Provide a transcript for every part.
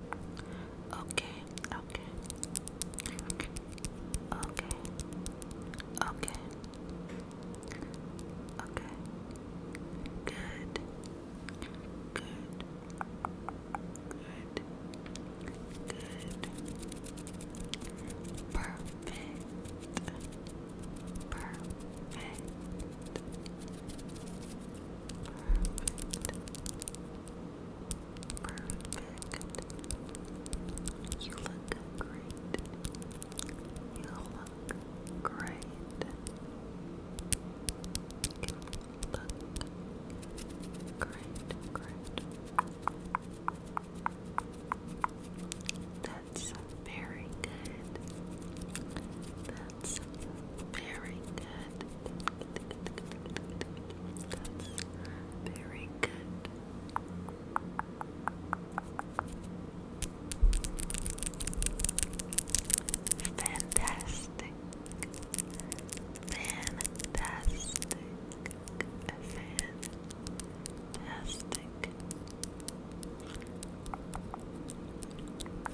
Okay, okay, okay, okay, okay, good, good, good, good, perfect, perfect. Perfect. Perfect. You look great. You look great. You look great, great. That's very good. That's very good. very good. Fantastic. Fantastic. Fantastic.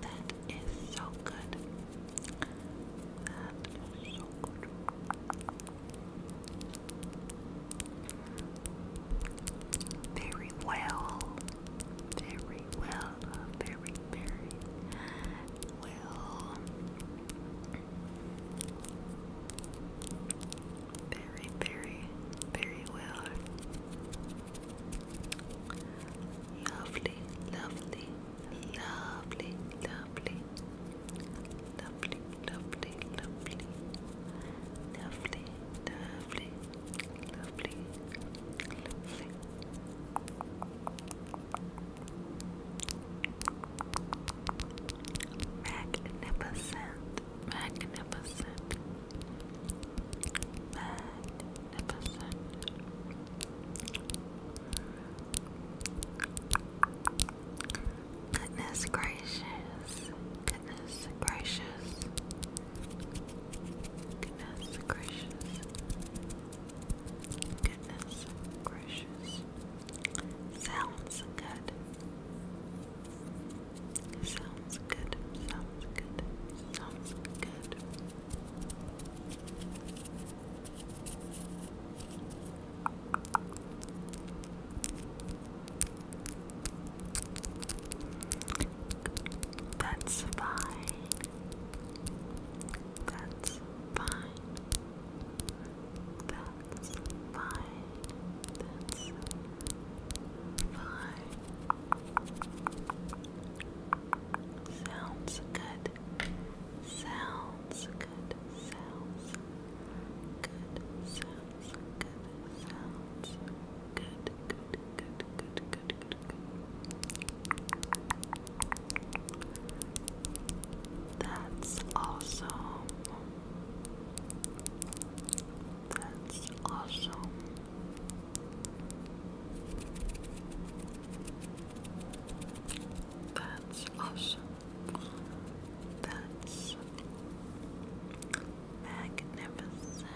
That is so good. That is so good. Very well. Very well. Very, very well. Very, very, very well. Lovely, lovely, lovely, lovely, lovely, lovely, lovely, lovely, lovely, lovely, lovely. Magnificent, magnificent, Magnificent. Goodness gracious. Goodness gracious. Goodness gracious. Goodness gracious. Sounds good. Sounds good, sounds good, sounds good. That's fine. That's fine. That's fine. That's fine. Sounds good. Sounds good. Sounds good. Sounds good. Sounds good. Good. Good. Good. Good. Good. Good. That's awesome. That's awesome. That's awesome. That's magnificent.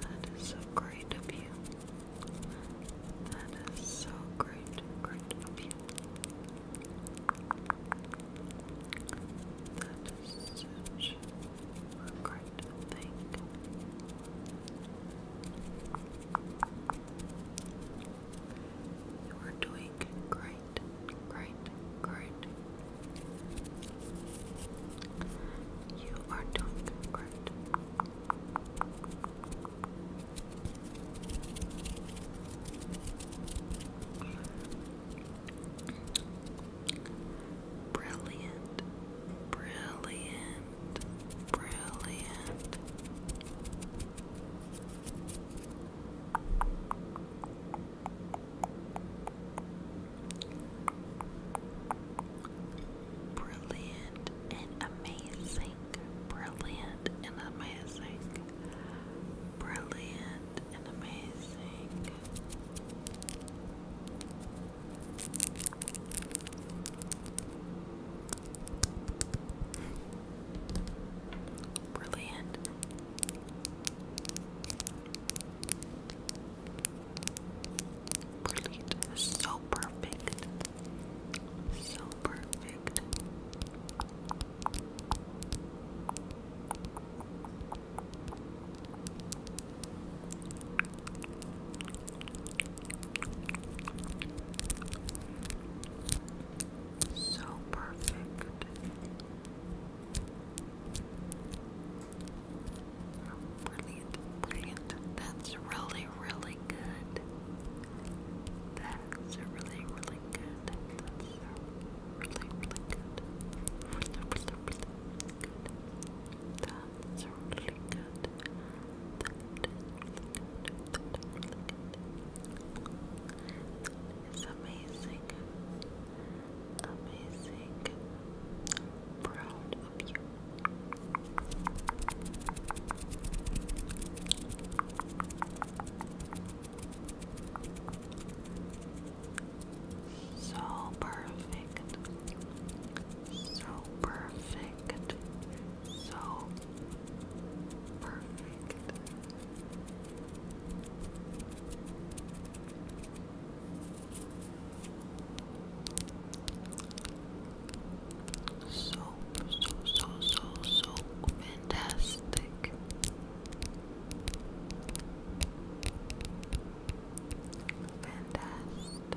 That is so great of you. That is so great, great of you such a great You are doing great, great, great. You are doing great. Brilliant, brilliant, brilliant. Brilliant and amazing, brilliant and amazing, brilliant and amazing. Brilliant. Brilliant. So perfect. So perfect. So perfect. Brilliant, brilliant. That's really, really good. That's really, really good really, really Really, really, good. That's really really good. That is really good. That is amazing. Amazing. Proud of you. So perfect. So perfect. So perfect. So so so so so fantastic. Fantastic,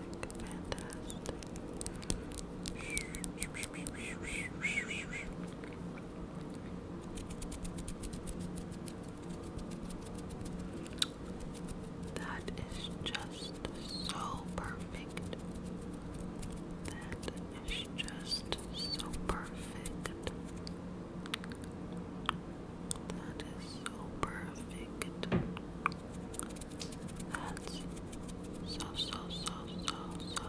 That is just so perfect. It's just so perfect. That is so perfect. That's so, so, so, so, so,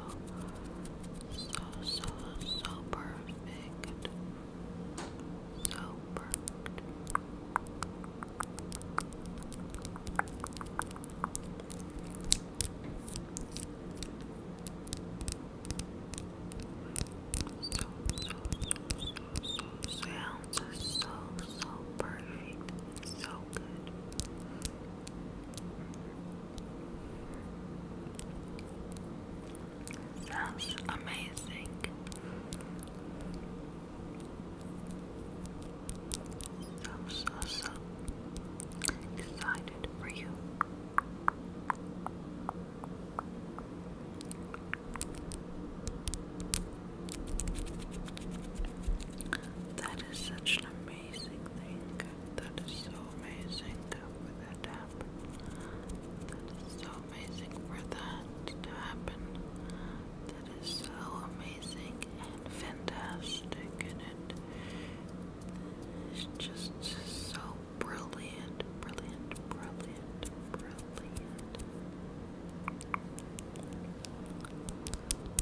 so, so, so perfect. So perfect. So, so, so, so, so sounds so, so perfect. so good. Sounds amazing. So, so, so exciting. That is such an amazing thing. That is so amazing for that to happen. That is so amazing and fantastic, and it's just so brilliant, brilliant, brilliant, brilliant.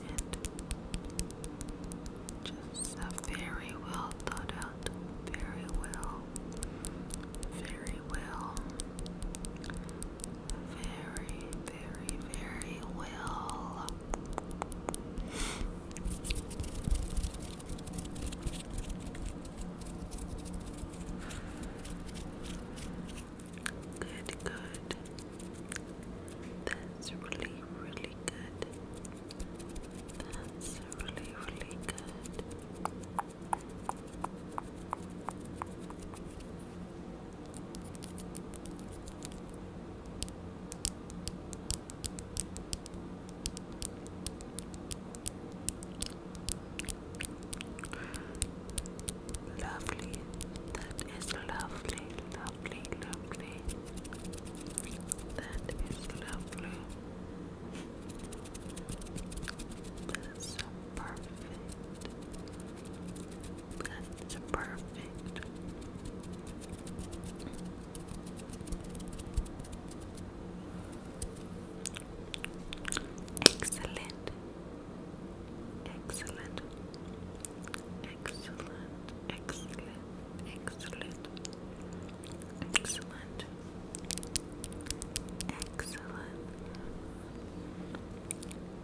And just a very well thought out, very well, very well, very, very, very well Good, good. That's really, really good. That's really, really good. Lovely, that is lovely, lovely, lovely. That is lovely. That's perfect. That's perfect. Excellent. Excellent. Excellent. Excellent. Excellent. Excellent. Excellent.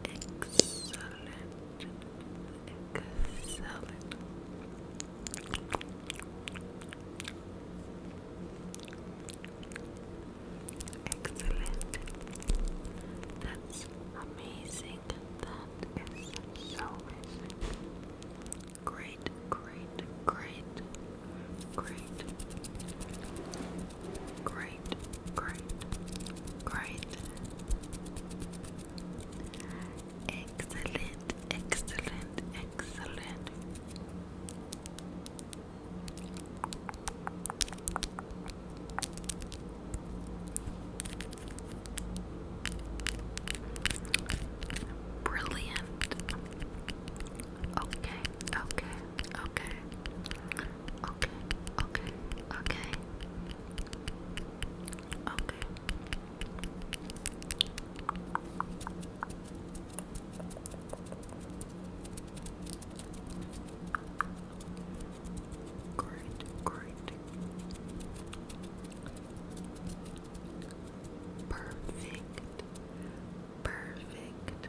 Excellent. That's amazing. That is so Great, great, great, great, great great, great, great. Excellent, excellent, excellent. Brilliant. Okay, okay, okay. Okay, okay, okay. Great, great. Perfect. Perfect.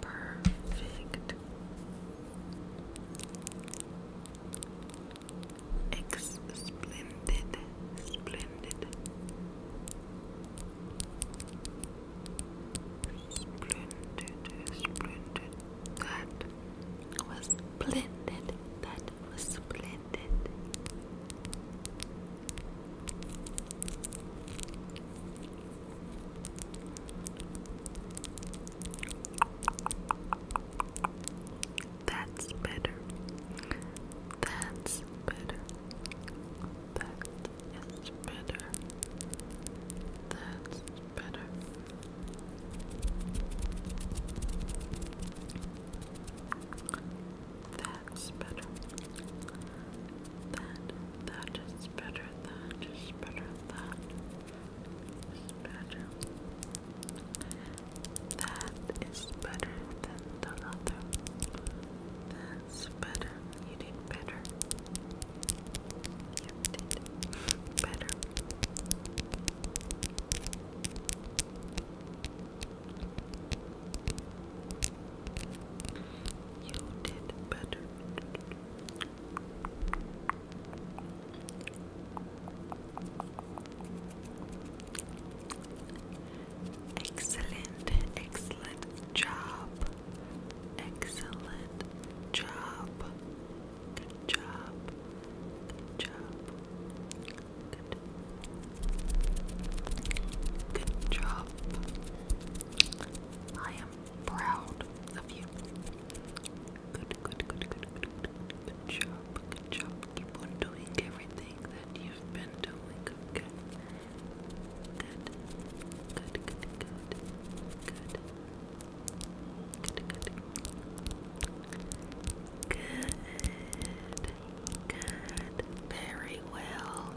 Perfect. Ex splendid, splendid, splendid. That was splendid. That was splendid. That's better. That's better. That is better. That's better. That's better that, that is better, that is better, that is better. That is better than the other. That's better. You did better. You did better. You did better. Excellent, excellent job. Excellent job. Good job. Good job. Good. job. I am proud of you. Good, good, good, good, good, good, job, good job. Keep on doing everything that you've been doing, good, good, good. Good, good, good. Good, good, very well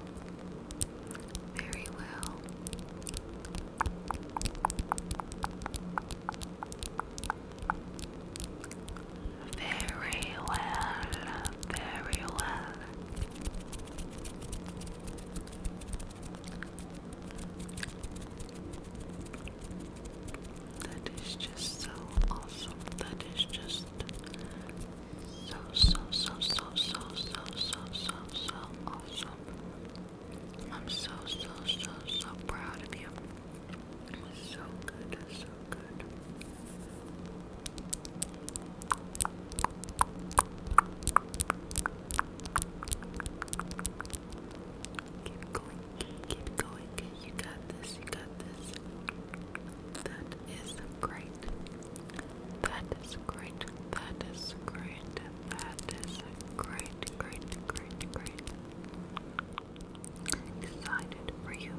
very well. Very well, very well. That is just so awesome. That is just so, so, so, so, so, so, so, so, so awesome. I'm so, so, so, so proud of you. So good, so good. Keep going, keep going. You got this, you got this. That is great. That is great. That is great. That is great, great, great, great. Excited for you.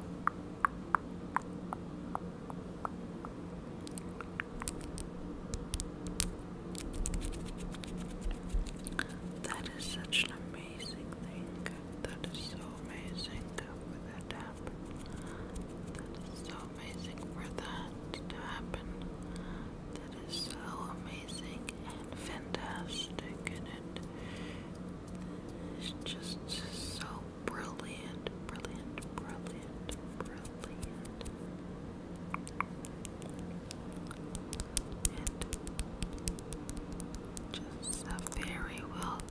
That is such an amazing thing. That is so amazing put that down. That is so amazing for that to happen. That is so amazing and fantastic, and it is just so brilliant, brilliant, brilliant, brilliant. And just a very well